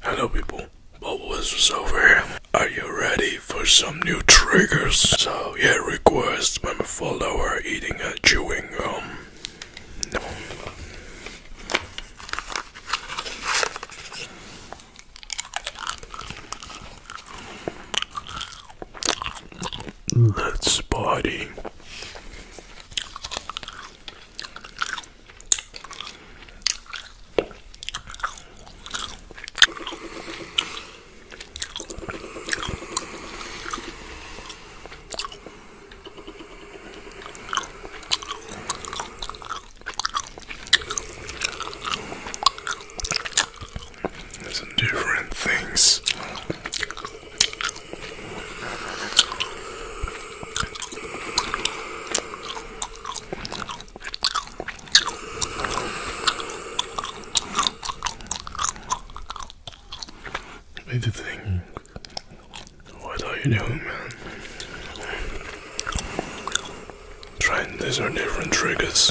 Hello people, Bubble is over. Are you ready for some new triggers? So yeah, request my follower eating a chewing gum. Let's party. There's some different things. I did think, what are you doing, man? Trying these are different triggers.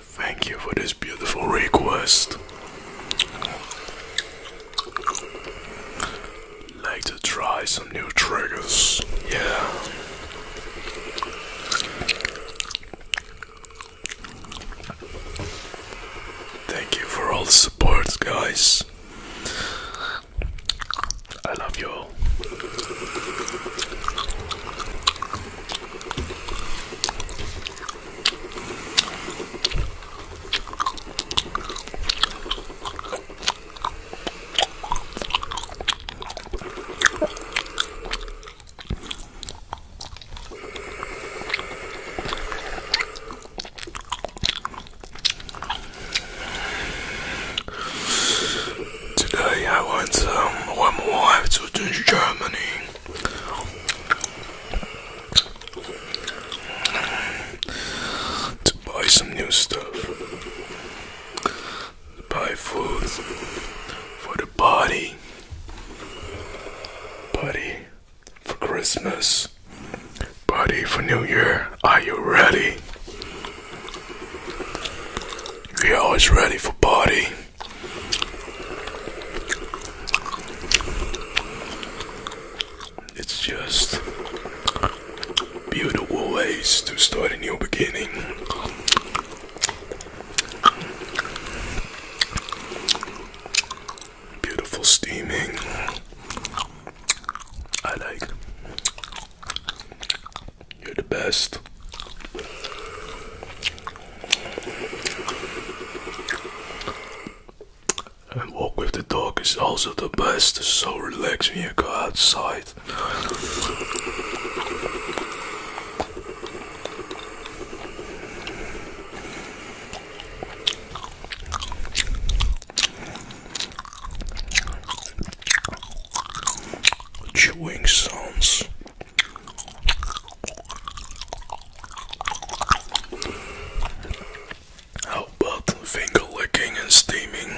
Thank you for this beautiful request. Like to try some new triggers, yeah. Thank you for all the support, guys. I love you all. Today I went um, one more time to Germany to buy some new stuff, buy food for the body, body for Christmas, body for New Year. Are you ready? We are always ready for party. It's just beautiful ways to start a new beginning. Beautiful steaming. I like. You're the best. And walk with the dog is also the best. so relax when you go outside. Chewing sounds. How about finger licking and steaming?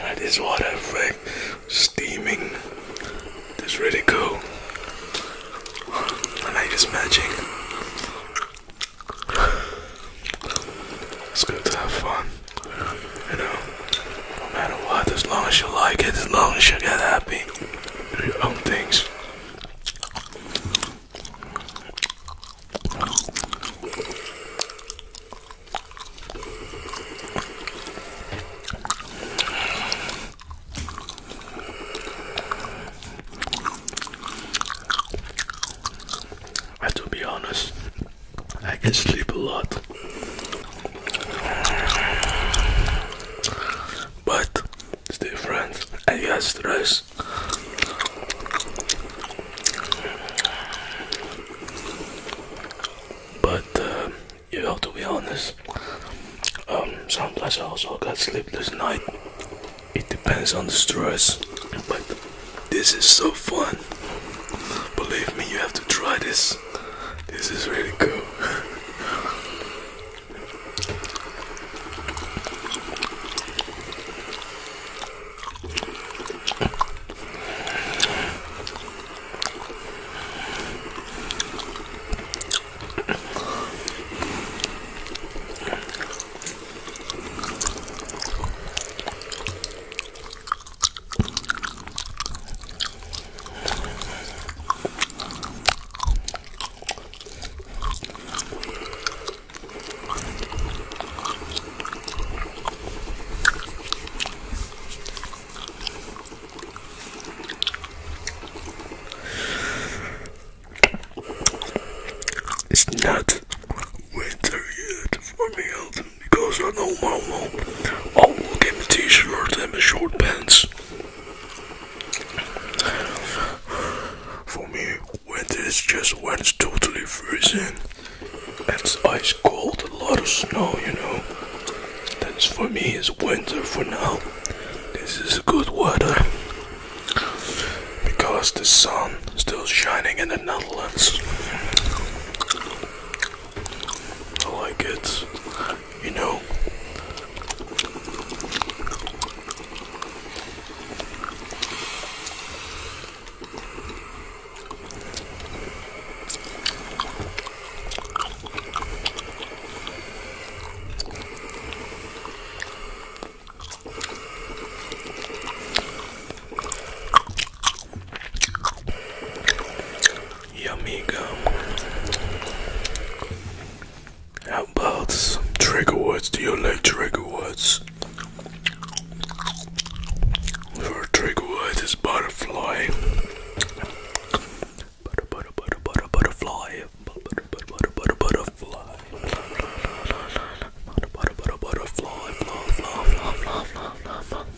that is what I think. Steaming. That's really cool. I like this magic. It's good to have fun. You know, no matter what, as long as you like it, as long as you get happy do oh, your own things. I to be honest, I can sleep a lot. But it's different. I got stress. But uh, you have to be honest, um, sometimes I also got sleepless night. It depends on the stress. But this is so fun. Believe me, you have to try this. This is really cool. It's not winter yet for me, old because I know my mom I will get me a t-shirt and my short pants. For me, when is just when it's totally freezing and it's ice cold, a lot of snow, you know. That's for me is winter for now. This is good weather because the sun still shining in the Netherlands. I like it, you know. Yummy gum. How about some trigger words? Do you like trigger words? For trigger words is butterfly. Butter butter butter butter butterfly. Butter butter butter butter butterfly. Butter butter butter butterfly. Fly fly fly fly fly fly fly.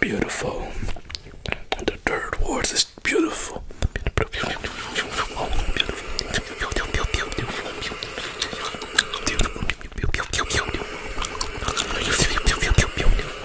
Beautiful. The third word is beautiful. Beautiful.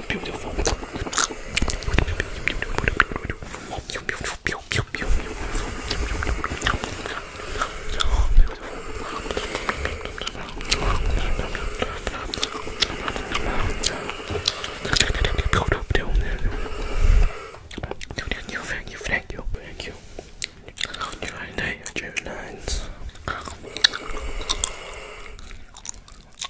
beautiful, beautiful, Thank you, thank you, thank you. July 9th, June 9th.